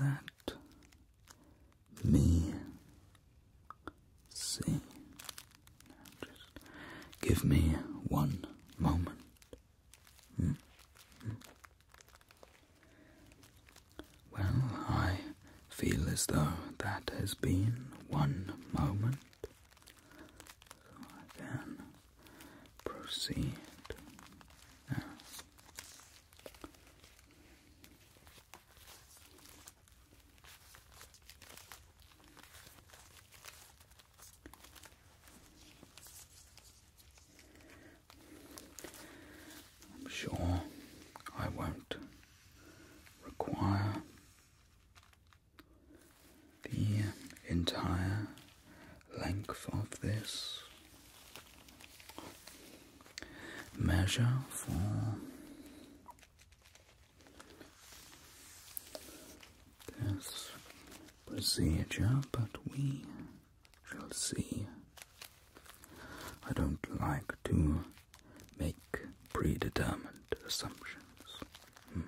Let me see. Just give me one moment. Well, I feel as though that has been one moment so I can proceed I'm sure I won't require the entire length of this measure for this procedure, but we shall see. I don't like to make predetermined assumptions. Hmm.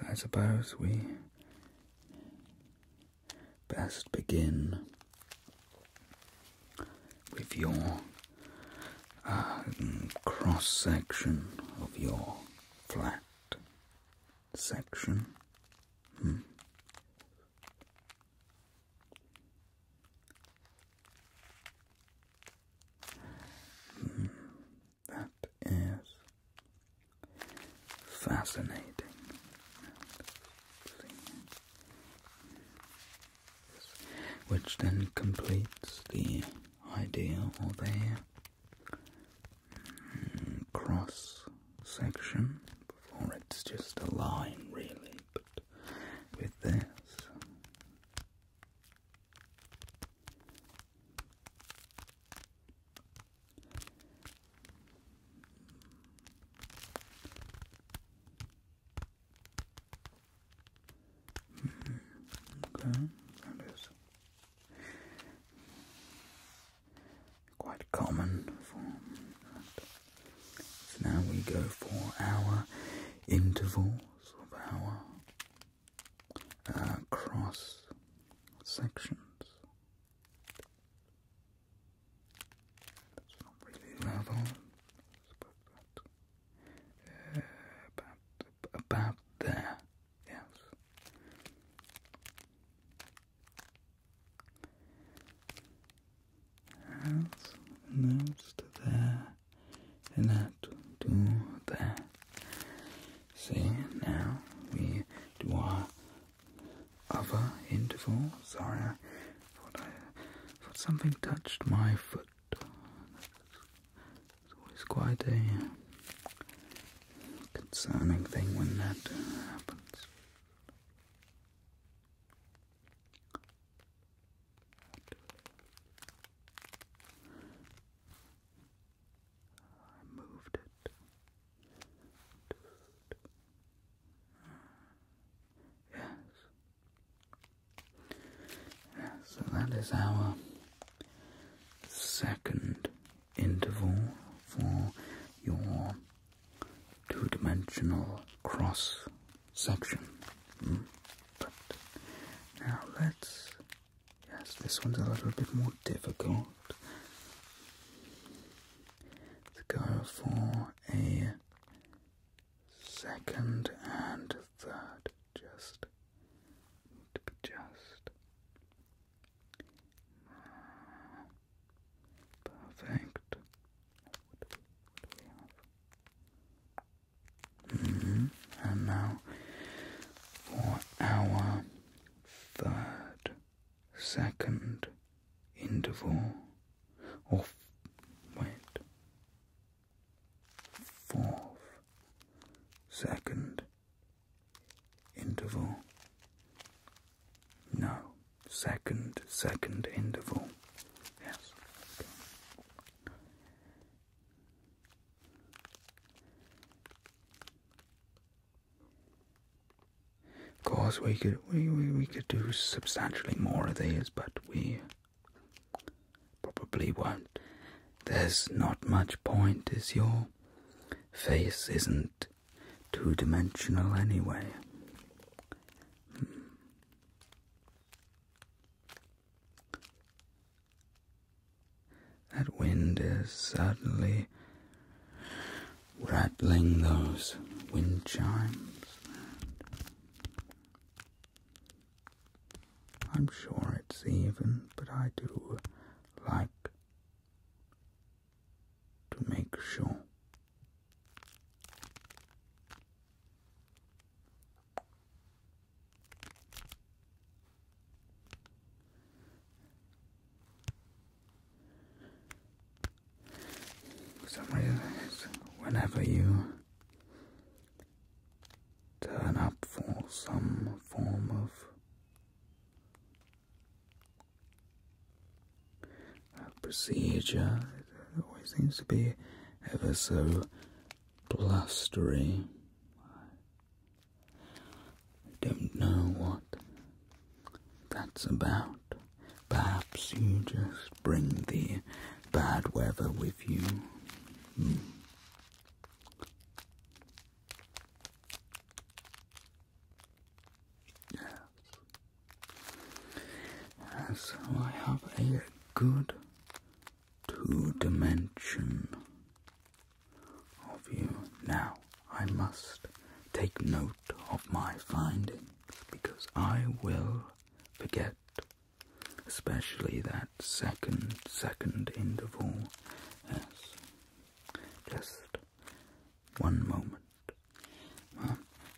So I suppose we best begin with your uh, mm, cross section of your flat section. Hmm. hmm. That is fascinating. Which then completes the idea or the Mm, cross section. Before it's just a line, really, but with this. Mm-hmm. Okay, quite common form. So now we go for our intervals of our uh, cross sections. That's not really level. Uh, about there, yes. As most there and that do there. See now we do our other intervals. Sorry, something touched my foot. It's always quite a concerning thing when that happens. I moved it. Yes. Yes, so that is our second interval for your two-dimensional cross section. But hmm? now let's. Yes, this one's a little bit more difficult. let go for a second and third. Just to just. Perfect. Mm-hmm. And now for our third, second interval, or wait, fourth, second interval. No, second, second interval. Yes. Of course, we could we, we, we could do substantially more of these, but we probably won't. There's not much point, is your face isn't two dimensional anyway. Hmm. That wind is certainly rattling those wind chimes. I'm sure it's even, but I do like to make sure. some reason, whenever you turn up for some form of procedure. always seems to be ever so blustery. I don't know what that's about. Perhaps you just bring the bad weather with you. Hmm. Yes. So I have a good two dimension of you. Now I must take note of my findings because I will forget, especially that second, second interval. Yes. Just one moment.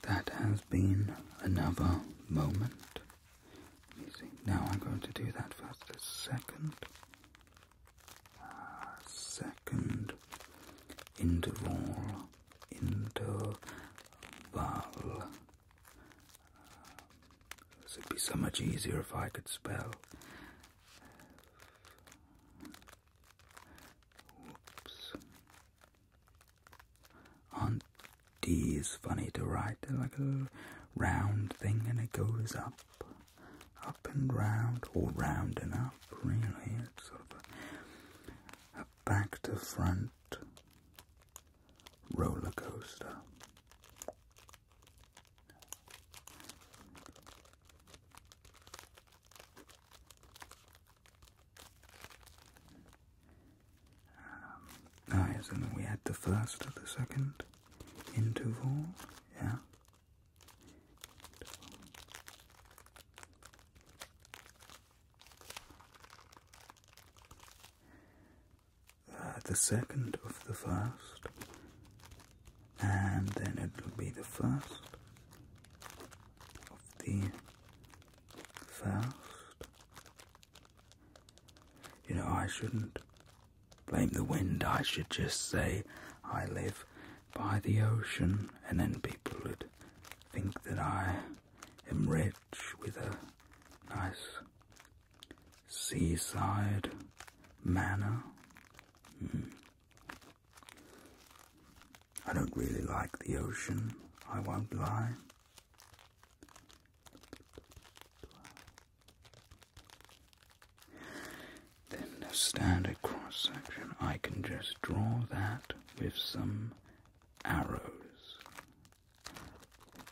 that has been another moment. Now I'm going to do that first. A second. second interval. Interval. Uh, this would be so much easier if I could spell. Whoops. are funny to write? They're like a round thing and it goes up, up and round, or round and up, really. It's sort of a back to front roller coaster. Um, and we add the first of the second interval, yeah. Uh, the second of the first and then it will be the first of the first. You know, I shouldn't blame the wind, I should just say I live by the ocean, and then people would think that I am rich with a nice seaside manor Hmm. I don't really like the ocean, I won't lie. Then the standard cross section, I can just draw that with some arrows. And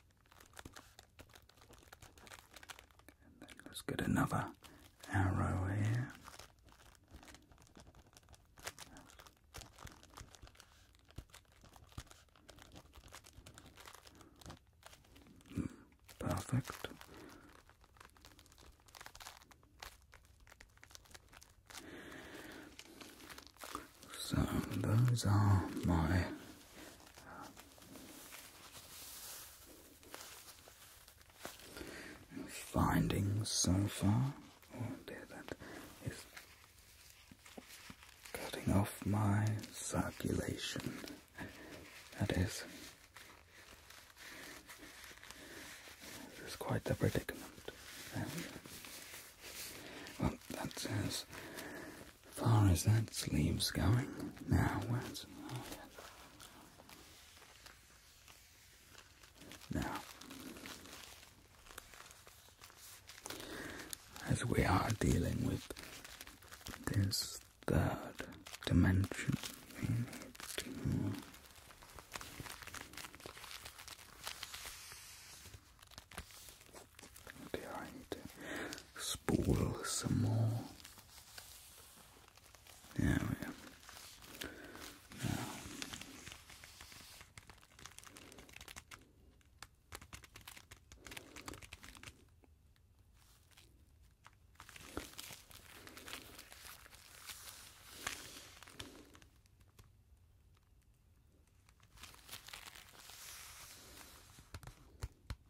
then let's get another arrow here. Perfect. So those are my findings so far. Oh dear, that is cutting off my circulation. That is. This quite the predicament. There Well, that's as far as that sleeve's going. Now, where's. Oh, yes. Now, as we are dealing with this third dimension, we need to. spool some more there we go. Now.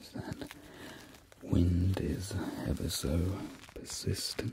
As that wind is ever so persistent.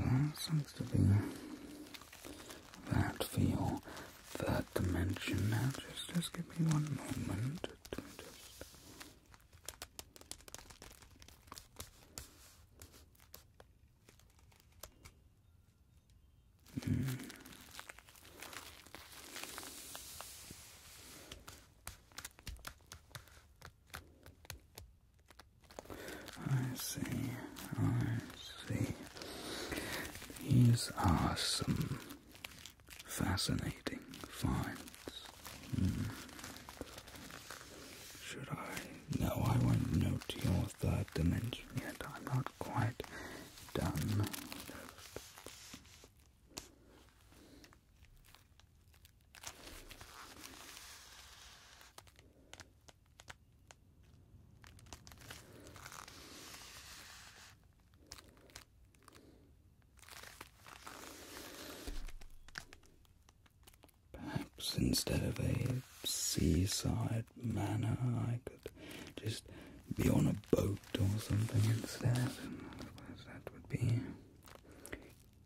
That seems to be that for your third dimension. Now, just, just give me one moment to just. I see, I see. These are some fascinating finds. Hmm. Should I no, I won't note your third dimension yet. I'm not quite done. Perhaps instead of a seaside manner, I could just be on a boat or something instead. that would be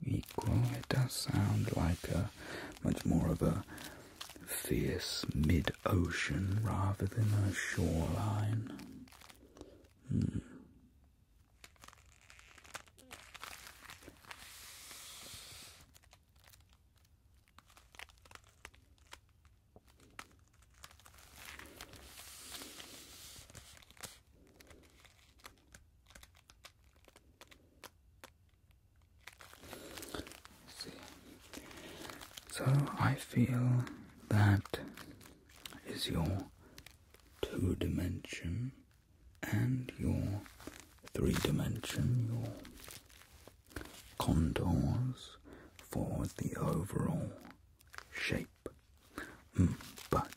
equal. It does sound like a much more of a fierce mid-ocean rather than a shoreline. Hmm. So I feel that is your two dimension and your three dimension, contours for the overall shape, mm, but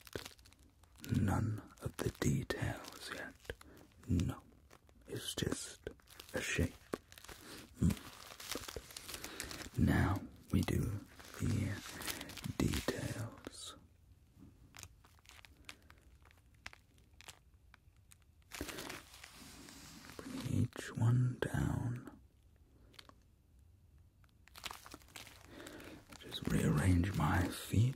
none of the details yet. No, it's just a shape. Mm. now we do the details. Bring each one down. Just rearrange my feet.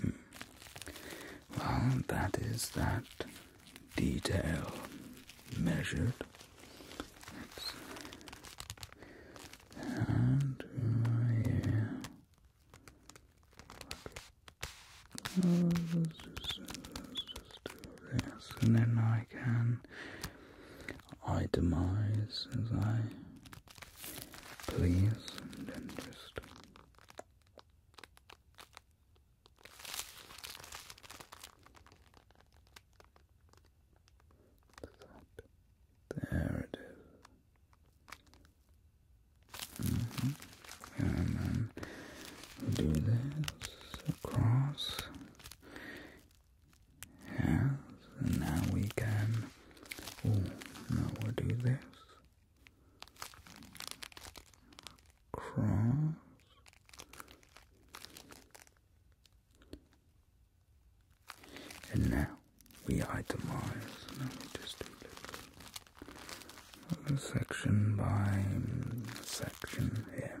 Hmm. Well, that is that detail measured. and yeah and then I can itemize as I please, and then just. There it is. Mm-hmm and then do this across. and now we can. now we do this. Cross. And now we itemize. just do this section by section here.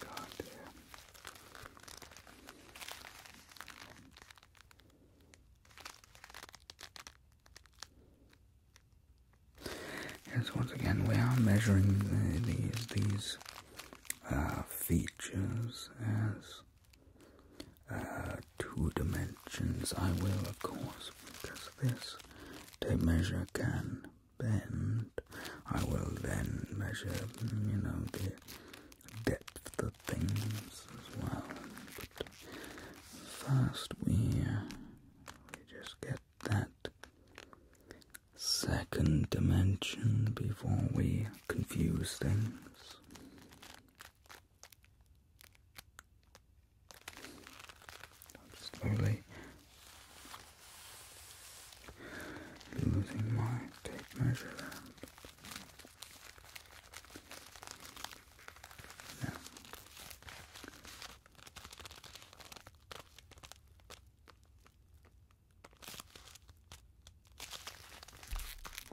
God damn. Yes, once again, we are measuring these these uh, features as uh, two dimensions. I will, of course, because this tape measure can bend, I will then measure, you know, the depth of things as well. first, we, we just get that second dimension before we confuse things. slowly Losing my tape measure there.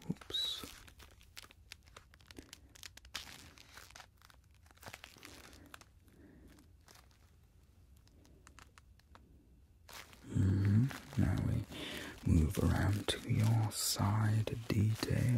Oops. Mm-hmm. Now we move around to your side details.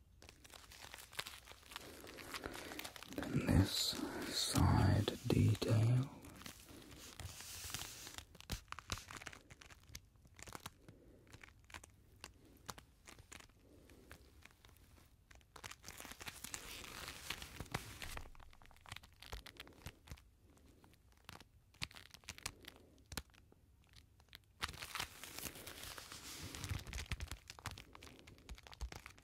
Then this side detail.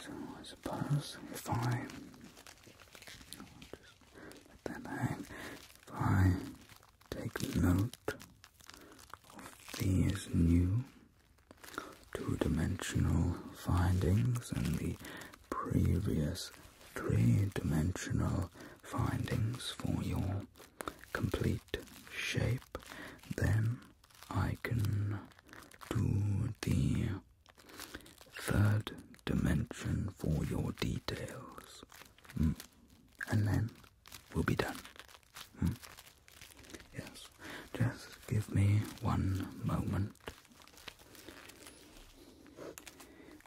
So I suppose if I just let that if I take note of these new two-dimensional findings and the previous three-dimensional findings for your complete shape, then I can do the third dimension for your details. Hmm. And then we'll be done. Hmm. Yes, just give me one moment.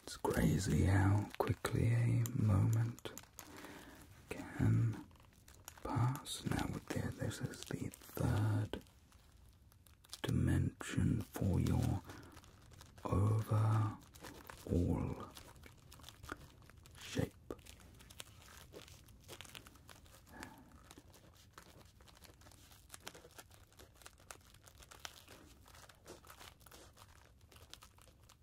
It's crazy how quickly a moment can pass. Now, there, this is the third dimension for your overall shape.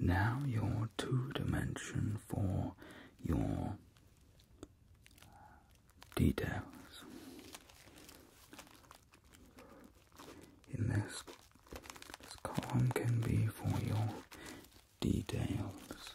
Now, your two dimension for your details. In this, this column can be for your details.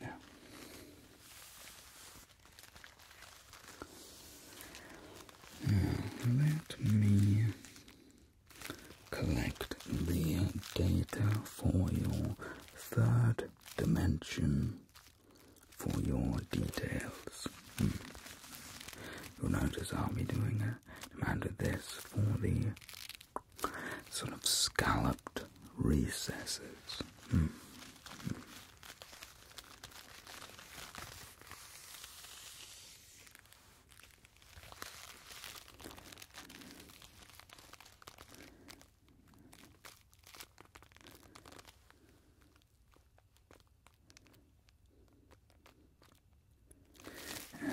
Yeah. Now, hmm, let me collect the data for your third dimension for your details. Hmm. You'll notice I'll be doing a amount of this for the sort of scalloped recesses. Hmm.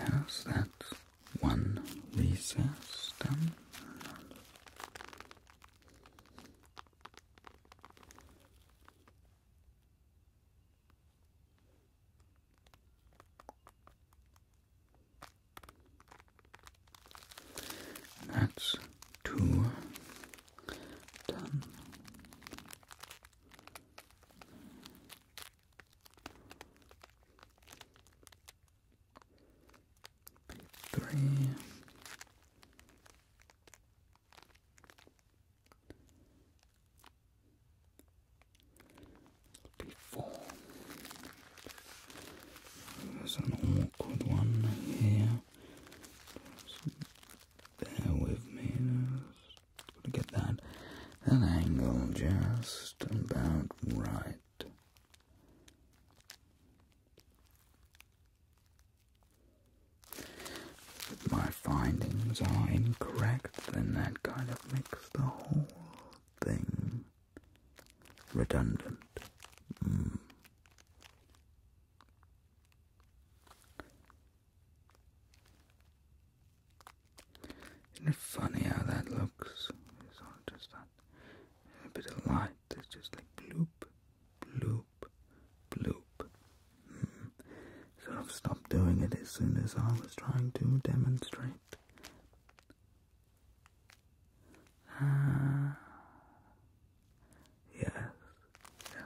How's that one recess that's two done. Three before. There's an awkward one here. Just with me. gotta get that angle just about right. If my findings are incorrect, then that kind of makes the whole thing redundant. Hmm. Isn't it funny how that looks? It's all just that bit of light. It's just like bloop, bloop, bloop, bloop. Hmm. have stopped doing it as soon as I was trying to demonstrate. Ah. Yes, yes.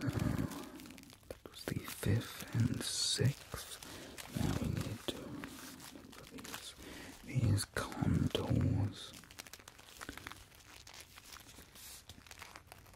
So, that was the fifth and sixth. Now we need to these, these contours.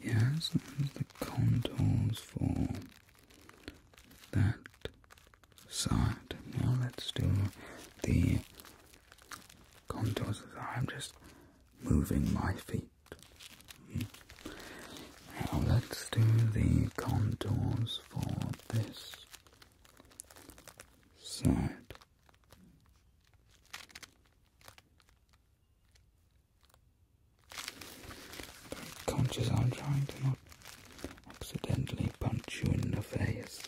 Yeah, so the contours for that side. Now let's do the contours as I'm just moving my feet. Now let's do the contours for this side. Very conscious I'm trying to not accidentally punch you in the face.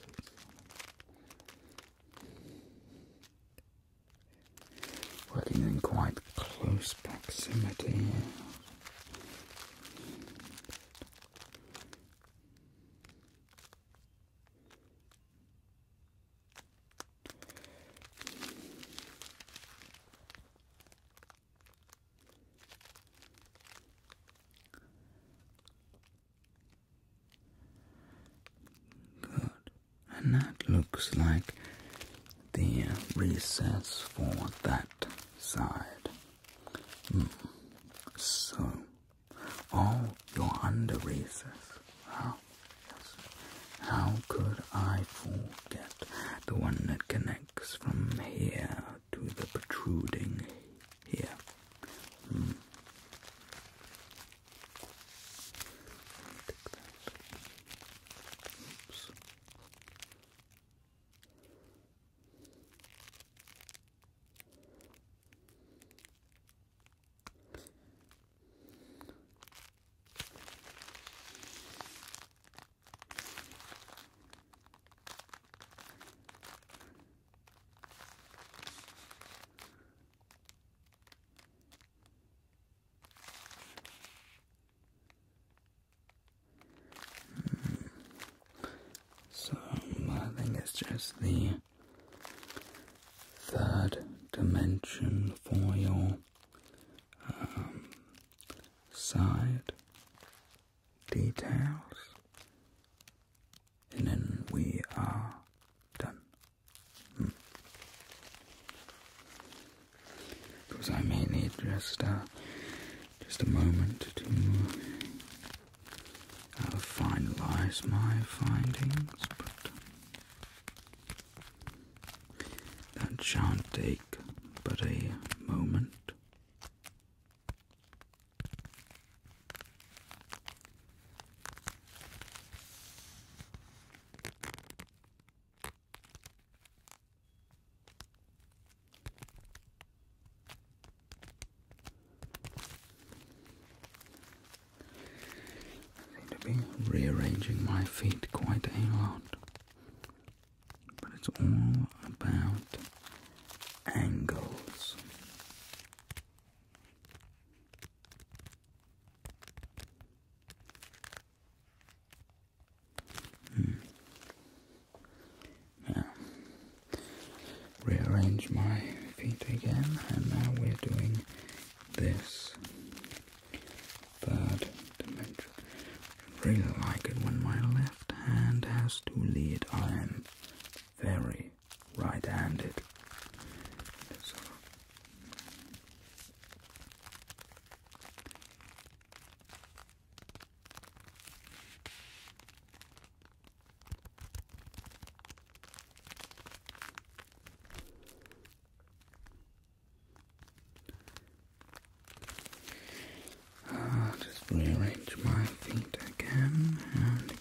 Working in quite close proximity Good. And that looks like the uh, recess for that side. Hmm. So, oh, you're under recess. Wow. How could I forget the one that connects from here to the protruding here. Hmm. So I think it's just the third dimension for your um, side details, and then we are done. Hmm. Because I may need just uh, just a moment to uh, finalize my findings, but that sha take but a moment seem to be rearranging my feet quite a lot, but it's all about angles. Hmm. rearrange my feet again, and now we're doing this third dimension. I really like it when my left hand has to lead iron very right-handed. I'll just rearrange my feet again, and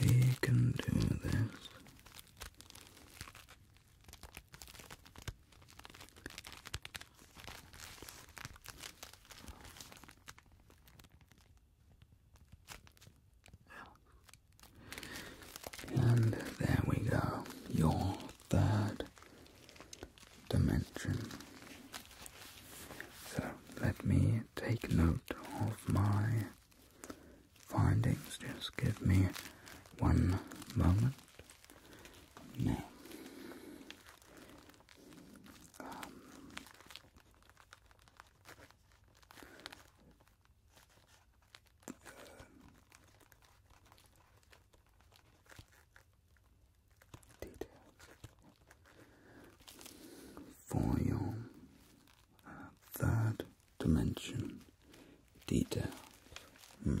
we can do this. And there we go, your third dimension. So let me take note of my findings. Just give me one moment. Now, um, details for your third dimension details. Hmm.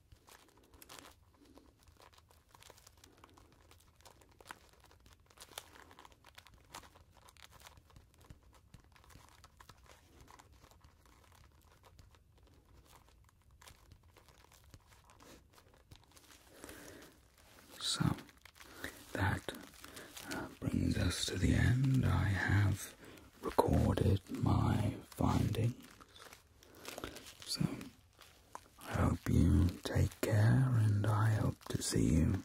So that uh, brings us to the end. I have recorded my findings so, I hope you take care, and I hope to see you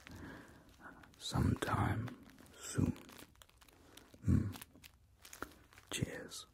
sometime soon. Hmm. Cheers.